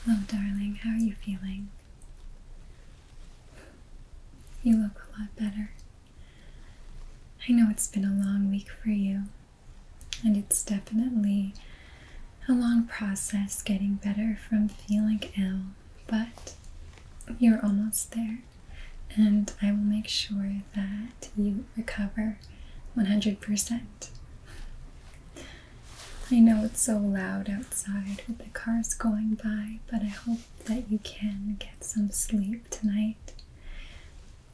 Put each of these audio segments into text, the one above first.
Hello, darling. How are you feeling? You look a lot better. I know it's been a long week for you, and it's definitely a long process getting better from feeling ill, but you're almost there, and I will make sure that you recover 100%. I know it's so loud outside with the cars going by, but I hope that you can get some sleep tonight.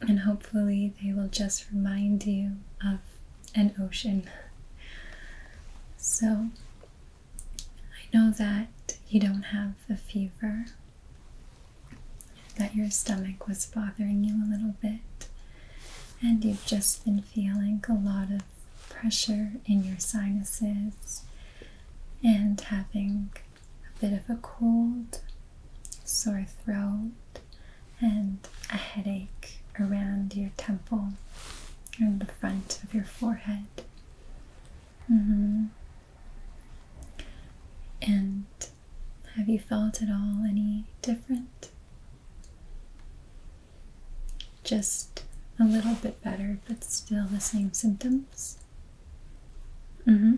And hopefully, they will just remind you of an ocean. So, I know that you don't have a fever, that your stomach was bothering you a little bit, and you've just been feeling a lot of pressure in your sinuses and having a bit of a cold, sore throat, and a headache around your temple and the front of your forehead. Mm -hmm. And have you felt at all any different just a little bit better, but still the same symptoms. Mm-hmm.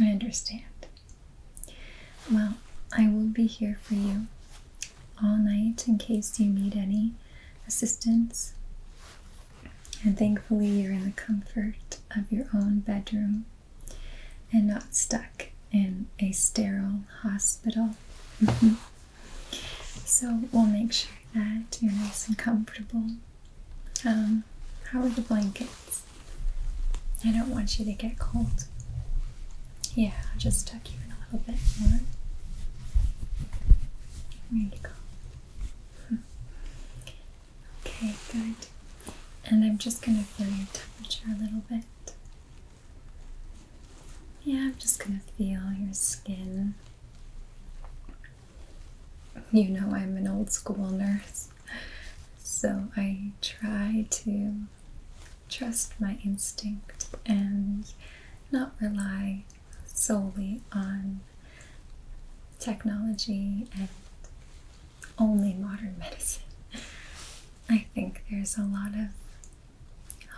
I understand. Well, I will be here for you all night in case you need any assistance. And thankfully, you're in the comfort of your own bedroom and not stuck in a sterile hospital. So we'll make sure that you're nice and comfortable. Um, how are the blankets? I don't want you to get cold. Yeah, I'll just tuck you in a little bit more. There you go. Okay, good. And I'm just going to feel your temperature a little bit. Yeah, I'm just gonna feel your skin. You know, I'm an old school nurse, so I try to trust my instinct and not rely solely on technology and only modern medicine. I think there's a lot of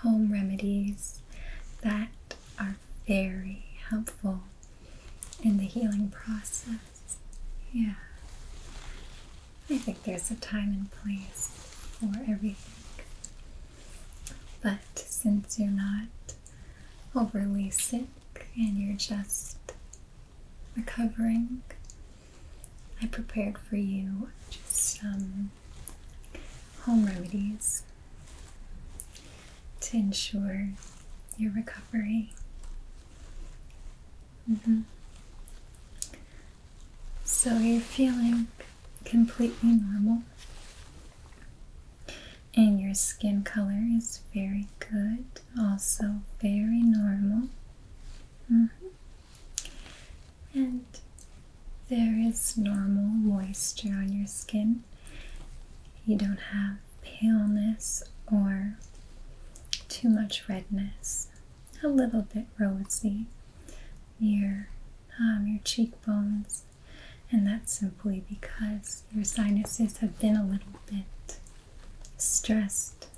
home remedies that are very helpful in the healing process. Yeah. I think there's a time and place for everything. But since you're not overly sick and you're just recovering, I prepared for you just some home remedies to ensure your recovery. Mm-hmm. So you're feeling completely normal, and your skin color is very good, also very normal. Mm-hmm. And there is normal moisture on your skin. You don't have paleness or too much redness. A little bit rosy near um, your cheekbones, and that's simply because your sinuses have been a little bit stressed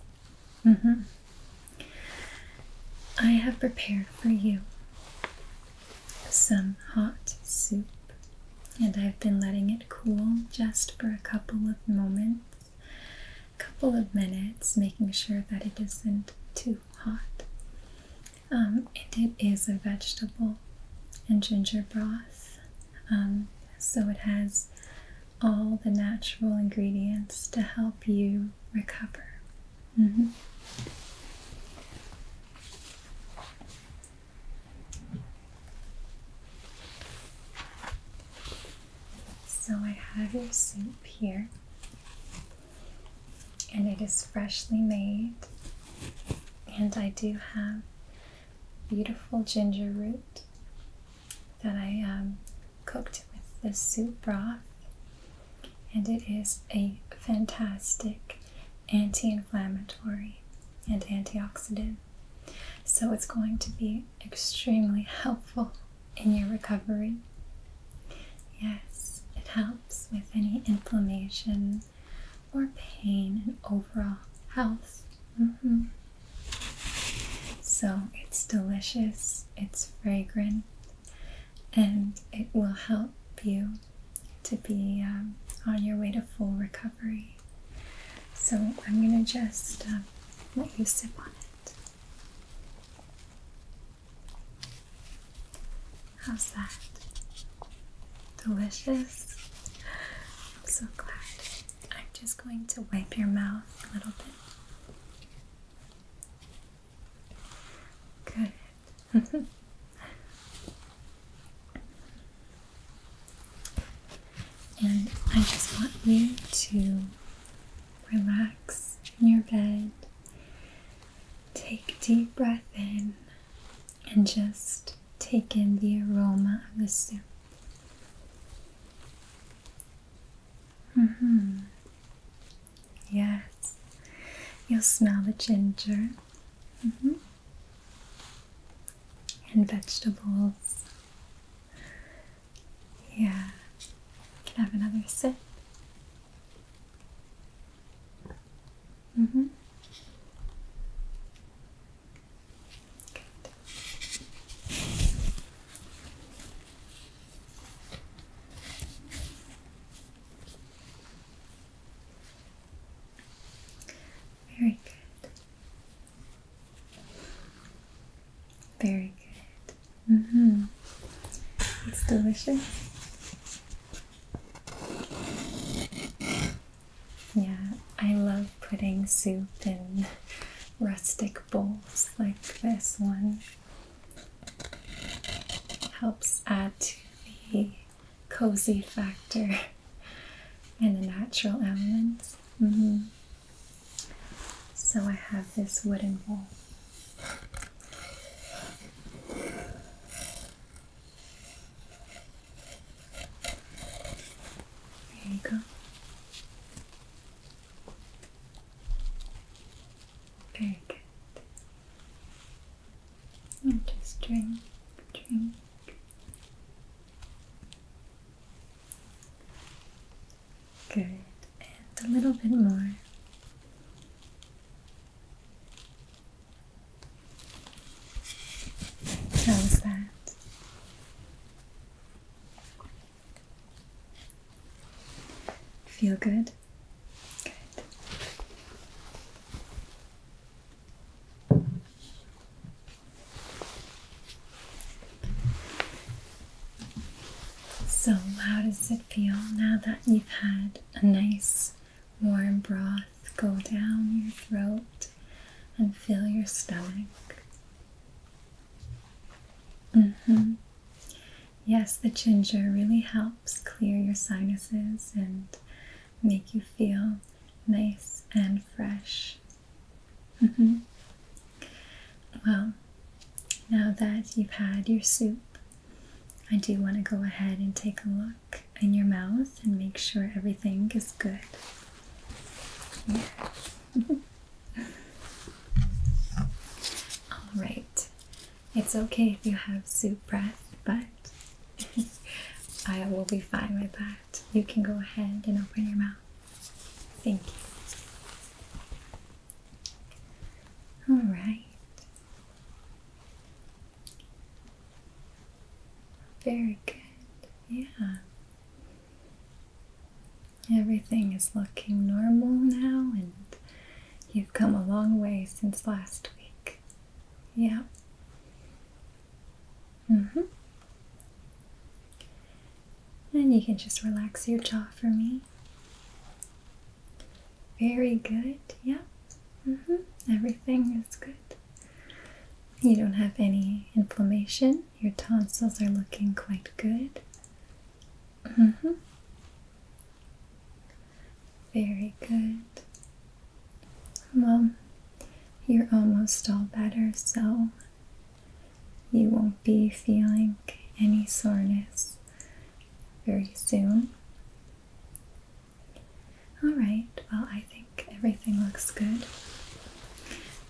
Mm-hmm. I have prepared for you some hot soup, and I've been letting it cool just for a couple of moments, a couple of minutes, making sure that it isn't too hot. Um, and it is a vegetable and ginger broth, um, so it has all the natural ingredients to help you recover. Mm-hmm. So I have your soup here, and it is freshly made. And I do have beautiful ginger root that I um, cooked with the soup broth, and it is a fantastic anti inflammatory and antioxidant. So, it's going to be extremely helpful in your recovery. Yes, it helps with any inflammation or pain and overall health. Mm-hmm. So it's delicious, it's fragrant, and it will help you to be um, on your way to full recovery. So I'm going to just um, let you sip on it. How's that? Delicious? I'm so glad. I'm just going to wipe your mouth a little bit. Good. and I just want you to relax in your bed. Take a deep breath in and just take in the aroma of the soup. Mm hmm. Yes. You'll smell the ginger. Mm hmm. And vegetables. Yeah. Can I have another sip? Mm hmm. Very good. Very good. hmm It's delicious. Yeah, I love putting soup in rustic big bowls like this one helps add to the cozy factor and the natural elements. Mm-hmm. So I have this wooden bowl. There you go. Very good. just drink, drink. Good. And a little bit more. How was that? Feel good? Good. So, how does it feel now that you've had a nice warm broth go down your throat and fill your stomach? Mm-hmm. Yes, the ginger really helps clear your sinuses and make you feel nice and fresh. Mm-hmm. Well, now that you've had your soup, I do want to go ahead and take a look in your mouth and make sure everything is good. Yeah. All right. It's okay if you have soup breath, but I will be fine with that. You can go ahead and open your mouth. Thank you. All right. Very good. Yeah. Everything is looking normal now, and you've come a long way since last week. Yeah. Mm hmm. And you can just relax your jaw for me. Very good. Yeah. Mm hmm. Everything is good. You don't have any inflammation your tonsils are looking quite good. -hmm. Very good. Well, you're almost all better, so you won't be feeling any soreness very soon. Alright, well, I think everything looks good.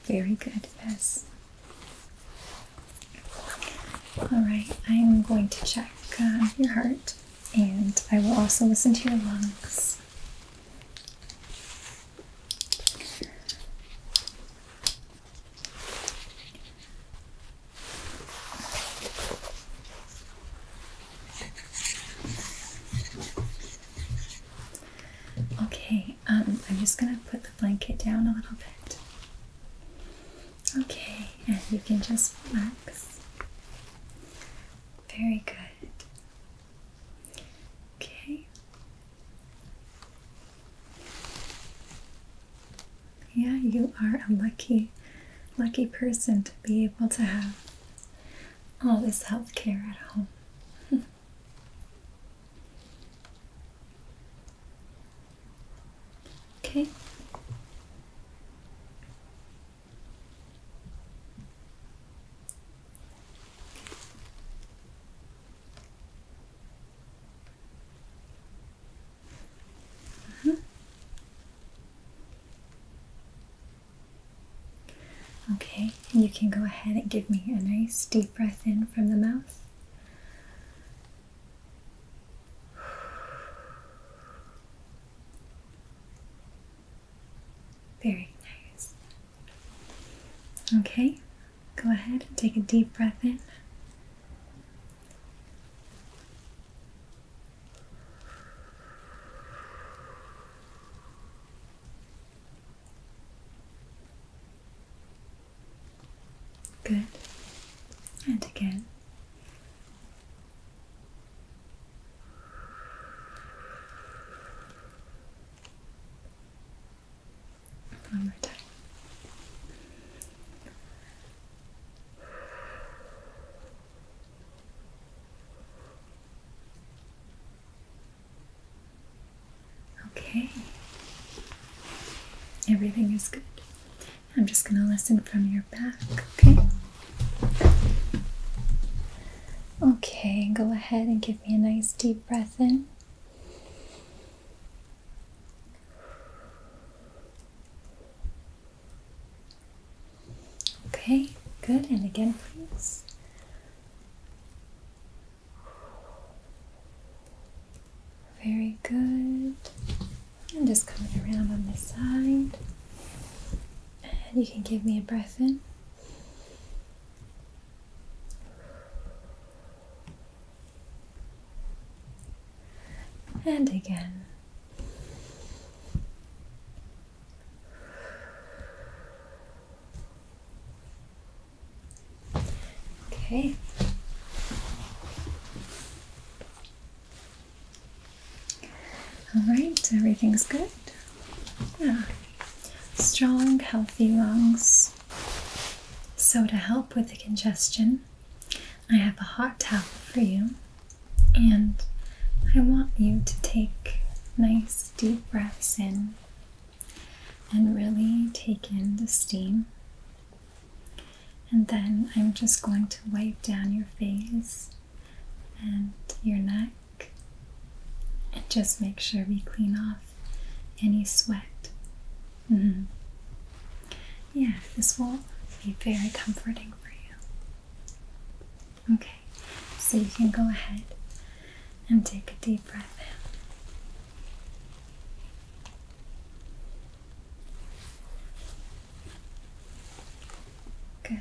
Very good, yes. All right, I'm going to check uh, your heart and I will also listen to your lungs. Okay, um, I'm just gonna put blanket down a little bit. Okay, and you can just relax. Very good. Okay. Yeah, you are a lucky, lucky person to be able to have all this health care at home. Okay. Mm -hmm. Okay, you can go ahead and give me a nice deep breath in from the mouth. Very nice. Okay, go ahead and take a deep breath in. Good. And again. One more time. Okay. Everything is good. I'm just going to listen from your back, okay? Okay, go ahead and give me a nice deep breath in. Okay, good. And again, please. Very good. I'm just coming around on this side. And you can give me a breath in. And again. Okay. All right, everything's good. Yeah. Strong, healthy lungs. So, to help with the congestion, I have a hot towel for you, and I want you to take nice deep breaths in and really take in the steam. And then I'm just going to wipe down your face and your neck and just make sure we clean off any sweat. Mm-hmm. Yeah, this will be very comforting for you. Okay, so you can go ahead and take a deep breath in. Good.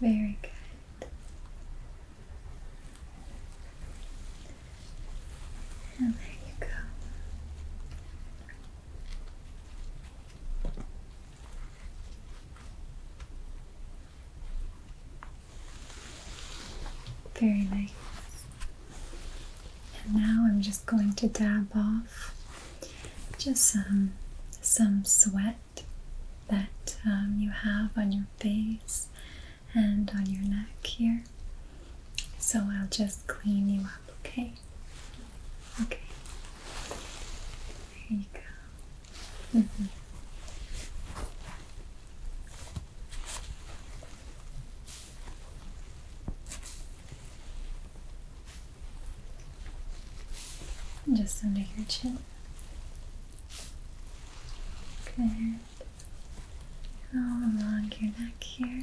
Very good. there you go. Very nice. And now I'm just going to dab off just some, some sweat that um, you have on your face and on your neck here. So I'll just clean you up, okay? Okay. There you go. Mm-hmm. Just under your chin. Good. All along your neck here.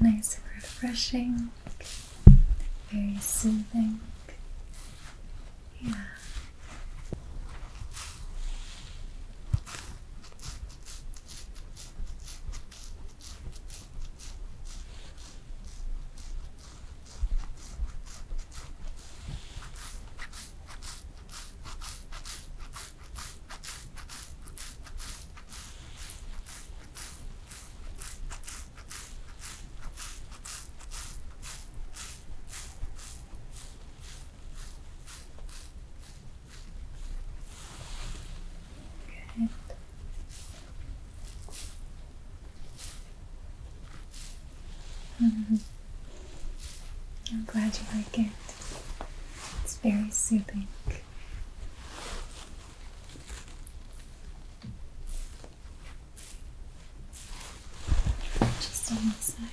Nice and refreshing, very soothing. Yeah. Good. Mm -hmm. I'm glad you like it. It's very soothing. Just on the side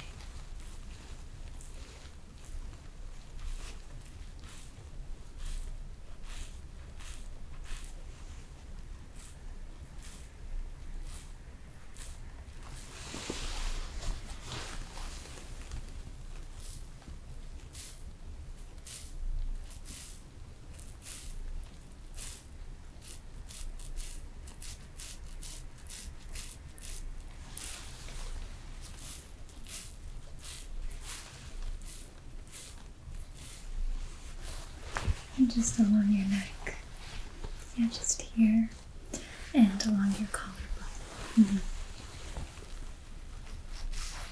just along your neck. Yeah, just here and along your collarbone. Mm-hmm.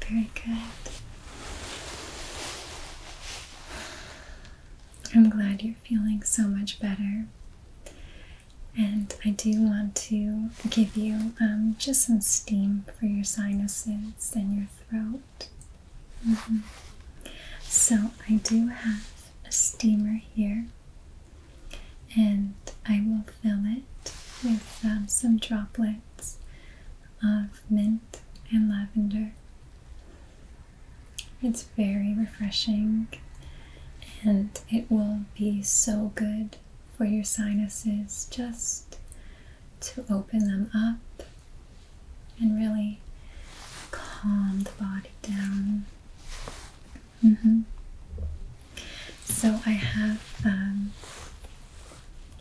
very good. I'm glad you're feeling so much better. And I do want to give you um, just some steam for your sinuses and your throat. Mm-hmm. So, I do have a steamer here, and I will fill it with um, some droplets of mint and lavender. It's very refreshing and it will be so good for your sinuses just to open them up and really calm the body down. Mm-hmm. So I have um,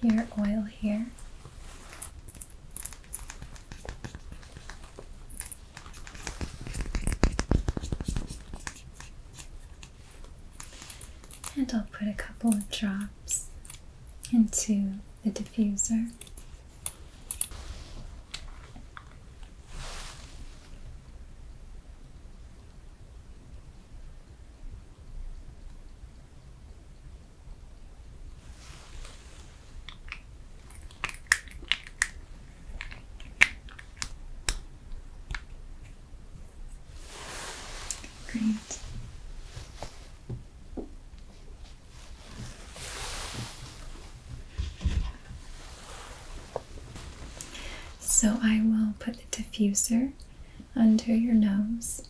your oil here. And I'll put a couple of drops into the diffuser. Great. So I will put the diffuser under your nose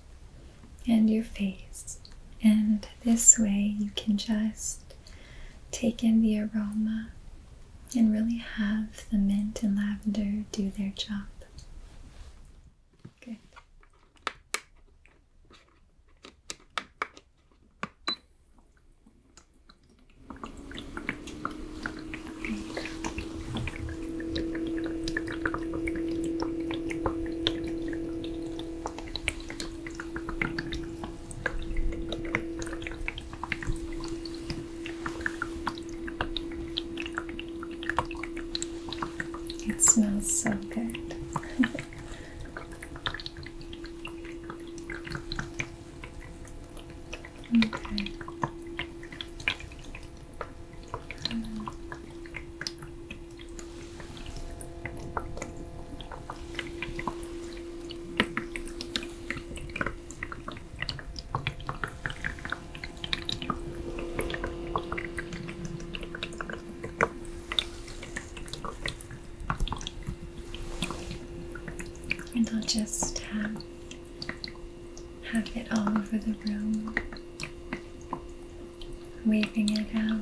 and your face. And this way you can just take in the aroma and really have the mint and lavender do their job. Good. It smells so good. okay and I'll just have. Um, have it all over the room, waving it out.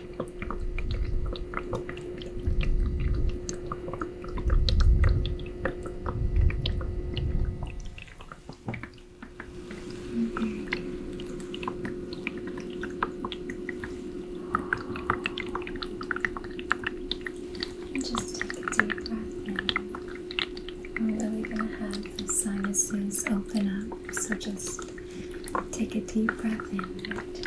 Just take a deep breath in. We're really going to have the sinuses open up, so just take a deep breath in.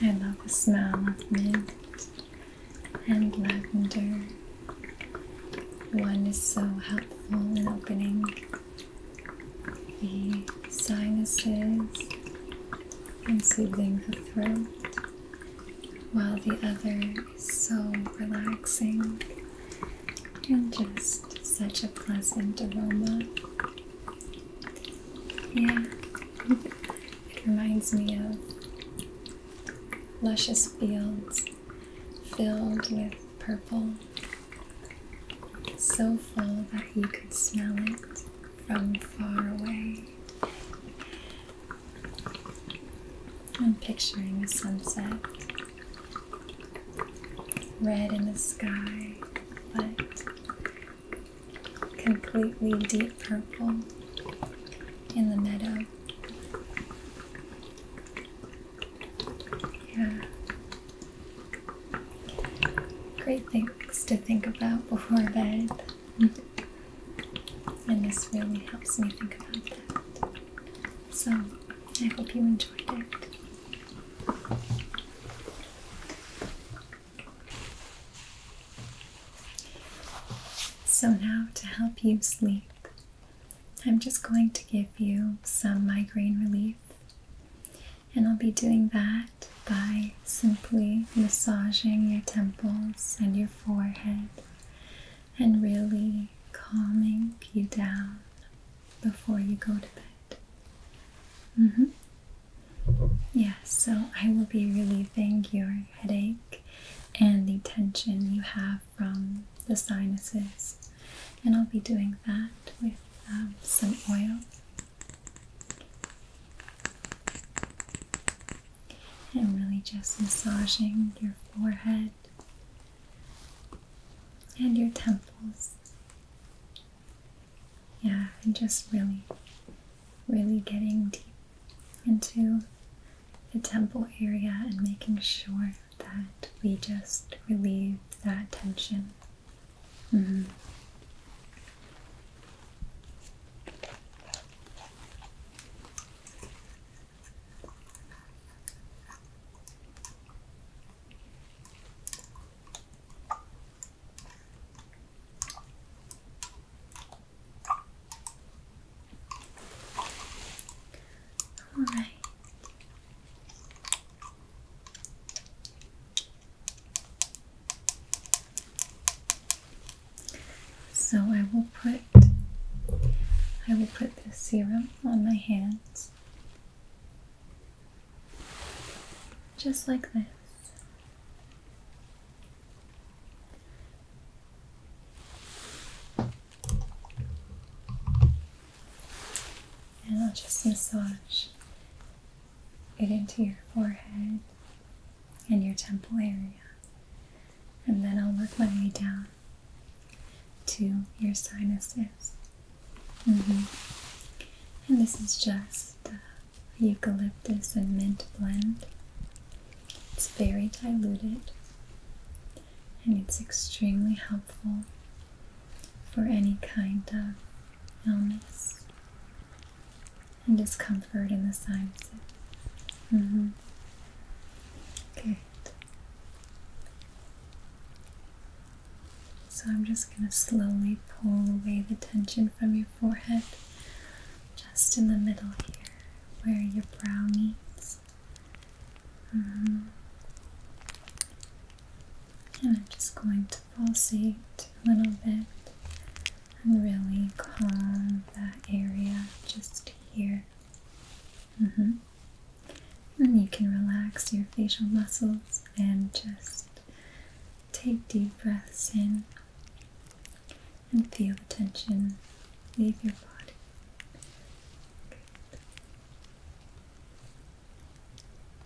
I love the smell of mint and lavender. One is so helpful in opening the sinuses and soothing the throat, while the other is so relaxing and just such a pleasant aroma. Yeah, it reminds me of luscious fields filled with purple so full that you could smell it from far away. I'm picturing a sunset, red in the sky, but completely deep purple in the meadow. Yeah, Great things to think about before bed. And this really helps me think about that. So I hope you enjoyed it. So, now to help you sleep, I'm just going to give you some migraine relief. And I'll be doing that by simply massaging your temples and your forehead and really calming you down before you go to bed. Mm hmm. Yeah, so I will be relieving your headache and the tension you have from the sinuses. And I'll be doing that with um, some oil and really just massaging your forehead and your temples. Yeah, and just really, really getting deep into the temple area and making sure that we just relieve that tension Mm -hmm. All right. So I will put I will put this serum on my hands just like this. And just massage it into your forehead and your temple area. And then I'll work my way down to your sinuses. Mm-hmm. And this is just eucalyptus and mint blend. It's very diluted and it's extremely helpful for any kind of illness and discomfort in the sides. mm So I'm just going to slowly pull away the tension from your forehead, just in the middle here, where your brow meets. Mm-hmm and I'm just going to pulsate a little bit and really calm that area just here. Mm-hmm. And you can relax your facial muscles and just take deep breaths in and feel the tension leave your body.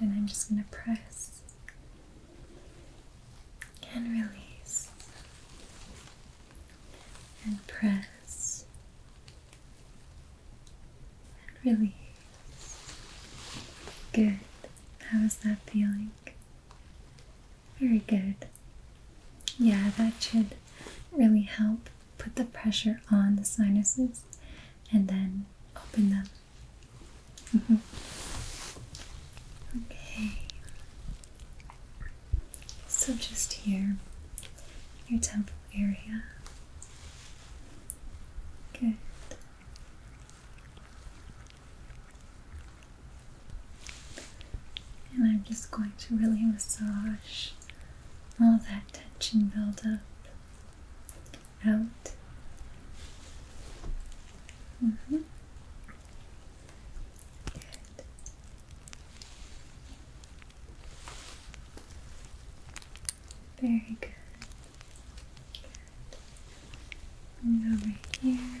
Then I'm just going to press and release and press and release. Good. How is that feeling? Very good. Yeah, that should really help put the pressure on the sinuses and then open them. Mm -hmm. Okay. So just here, your temple area. Good. And I'm just going to really massage all that tension up out. Mm -hmm. Very good. And go here.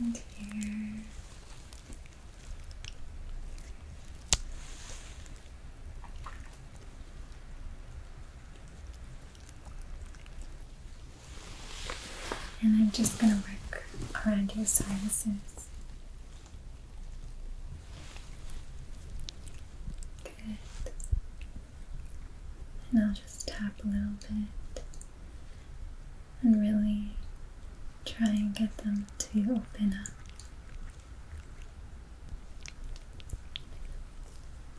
And here. And I'm just going to work around your sinuses Good. And I'll just tap a little bit and really try and get them to open up.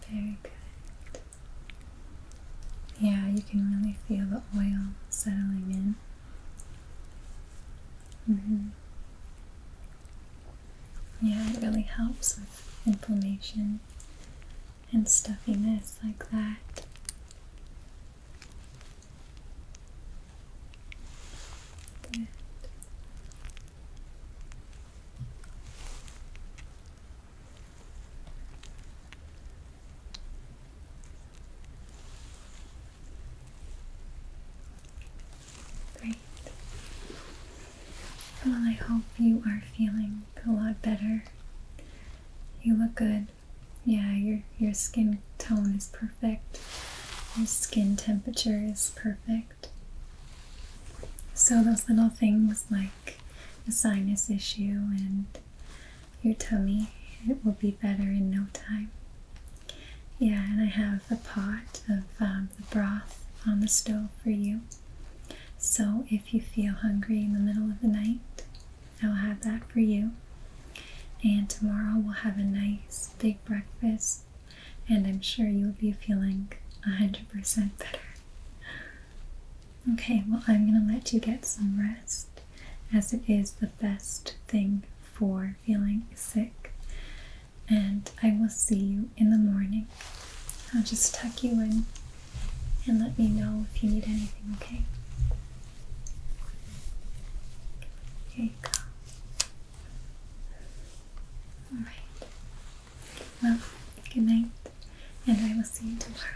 Very good. Yeah, you can really feel the oil settling in. Mm-hmm. Yeah, it really helps with inflammation and stuffiness like that. Great. Well, I hope you are feeling a lot better. You look good. Yeah, your your skin tone is perfect. Your skin temperature is perfect. So those little things like the sinus issue and your tummy, it will be better in no time. Yeah, and I have a pot of um, the broth on the stove for you. So if you feel hungry in the middle of the night, I'll have that for you. And tomorrow we'll have a nice big breakfast, and I'm sure you'll be feeling 100% better. Okay, well, I'm going to let you get some rest as it is the best thing for feeling sick and I will see you in the morning. I'll just tuck you in and let me know if you need anything, okay? Here you go. Alright. Well, good night, and I will see you tomorrow.